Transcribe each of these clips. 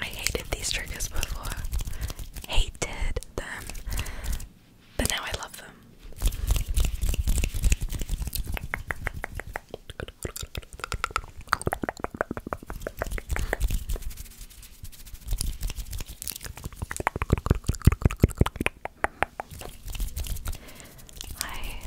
I hated these triggers before. Hated them. But now I love them. Hi,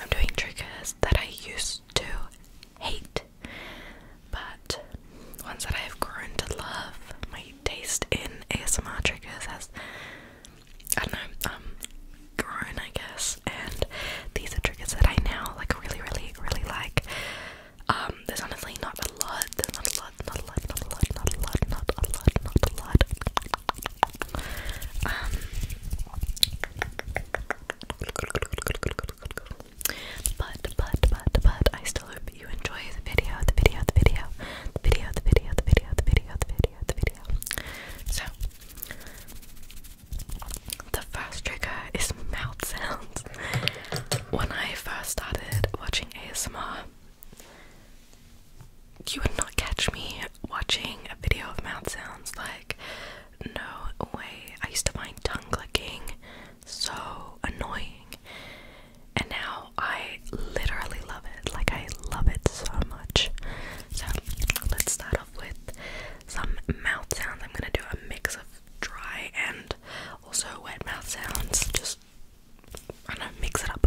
I'm doing triggers that I used to hate, but ones that I have grown to love. My taste in ASMR triggers has, I don't know, um, grown, I guess. And these are triggers that I now like really, really, really like. Um, there's honestly not a lot. There's not a lot. Not a lot. Not a lot. Not a lot. Not a lot. Not a lot. Not a lot. Um, but, but, but, but, I still hope you enjoy the video, the video, the video, the video, the video, the video, the video, the video, the video. So, the first trigger is mouth sounds. When I first started watching ASMR, you would not catch me watching a video of mouth sounds like no way. I used to find tongue clicking so annoying, and now I literally love it. Like, I love it so much. So, let's start off with some mouth sounds. I'm gonna do a mix of dry and also wet mouth sounds. Just, I do mix it up.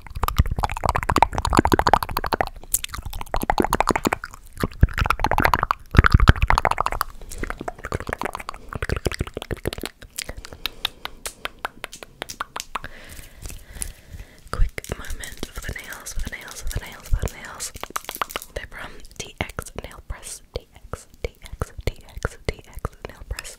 Quick moment for the nails, for the nails, for the nails, for the nails. They're from DX Nail Press. DX, DX, DX, DX Nail Press.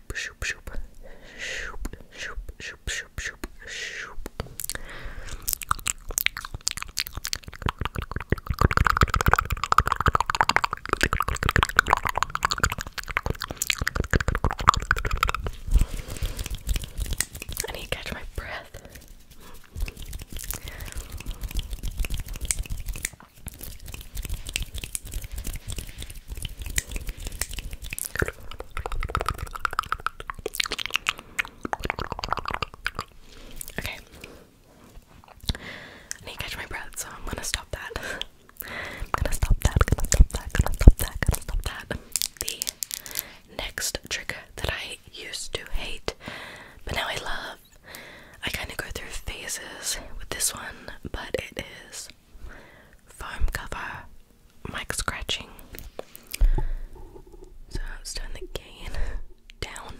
shoop, shoop, shoop, shoop, shoop, shoop, shoop, shoop, shoop. I need to catch my breath. Okay. I need to catch my breath, so I'm gonna stop that. I'm gonna stop that, gonna stop that, gonna stop that, gonna stop that. The next trick that I used to hate, but now I love. I kind of go through phases with this one, but it is foam cover mic scratching. So let's turn the gain down.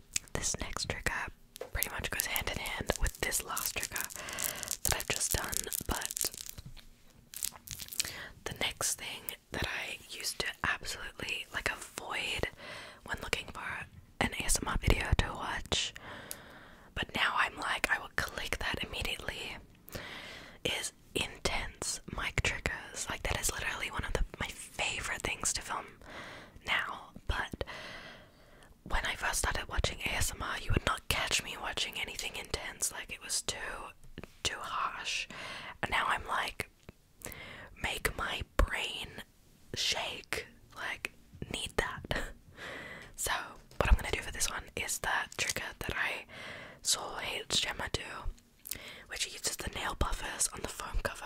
This next trigger pretty much goes hand in hand with this last trigger that I've just done, but the next thing that I used to absolutely like avoid when looking for an ASMR video to watch, but now I'm like, I will click that immediately, is intense mic triggers. Like, that is literally one of the, my favorite things to film now, but when I first started watching ASMR, you would not catch me watching anything intense. Like it was too too harsh. And now I'm like make my brain shake. Like need that. so what I'm gonna do for this one is that trigger that I so H Gemma do which uses the nail buffers on the foam cover.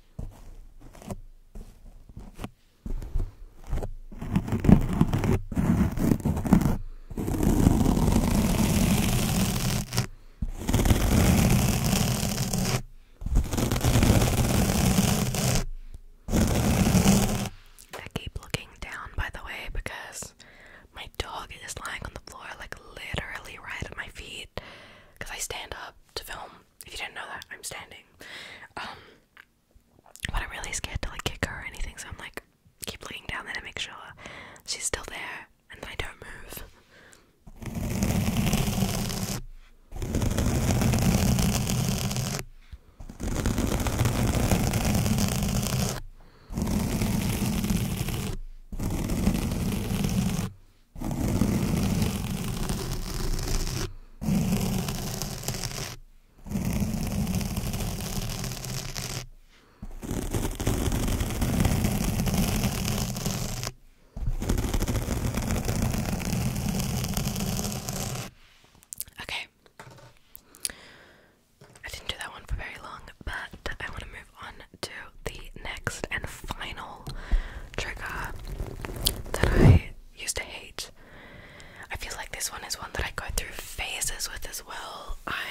I keep looking down, by the way, because my dog is lying on the floor, like literally right at my feet, because I stand up to film if you didn't know that, I'm standing. Um, but I'm really scared to like kick her or anything, so I'm like keep looking down there to make sure she's still there and I don't move. Okay. I didn't do that one for very long, but I want to move on to the next and final trigger that I used to hate. I feel like this one is one that I go through phases with as well. I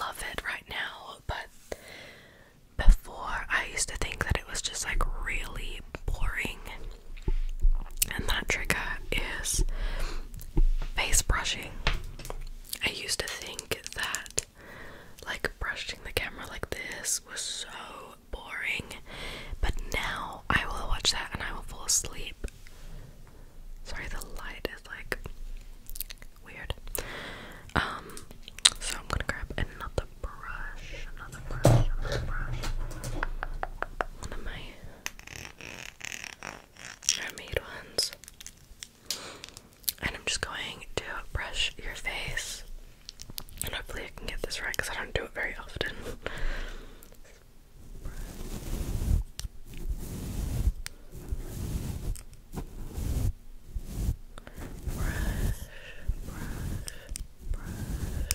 love it right now, but before I used to think that it was just like really boring. And that trigger is face brushing. I used to think that like brushing the camera like this was so boring. But now I will watch that and I will fall asleep. Sorry, the light is like weird. Um, so I'm gonna grab another brush, another brush, another brush. One of my mermaid ones. And I'm just going to brush your face. And hopefully, I can get this right because I don't do it very often. Brush, brush, brush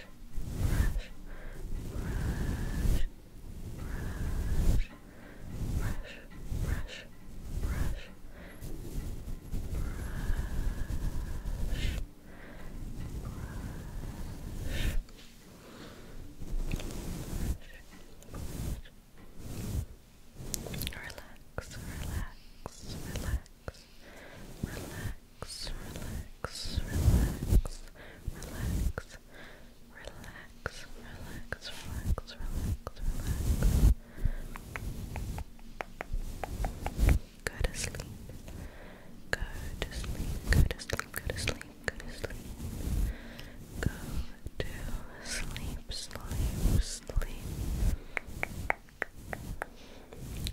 brush, brush, brush, brush, brush, brush, brush, brush. Relax, relax, relax, relax, relax, relax, relax, relax, relax, relax, relax, relax, relax. Go to sleep. Go to sleep. Go to sleep. Go to sleep. Go to sleep. Go to sleep. Sleep. Sleep. Go to sleep.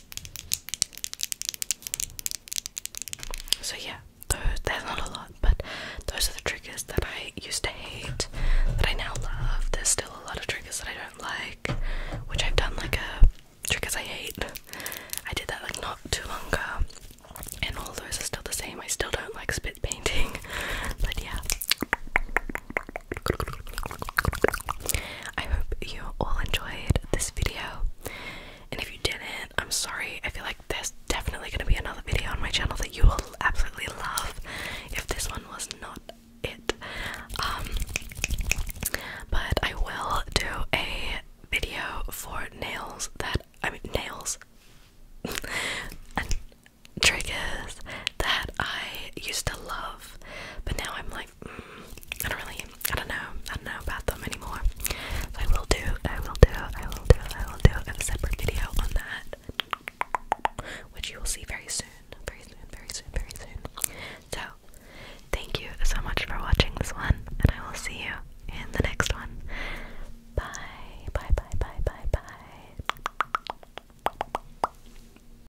So yeah, those, there's not a lot, but those are the triggers that I used to hate that I now love. There's still a lot of triggers that I don't like, which I've done like a triggers I hate. I did that like not too long ago, and all those are still the same. I still don't like spit painting, but yeah. I hope you all enjoyed this video. And if you didn't, I'm sorry. I feel like there's definitely going to be another video on my channel that you will absolutely love if this one was not it. Um, but I will do a video for nails that I mean nails and triggers that I used to love, but now I'm like. Mm, I don't really I don't know I don't know about them anymore. I will do I will do I will do I will do a separate video on that, which you will see very soon, very soon, very soon, very soon. So thank you so much for watching this one, and I will see you in the next one. Bye bye bye bye bye bye.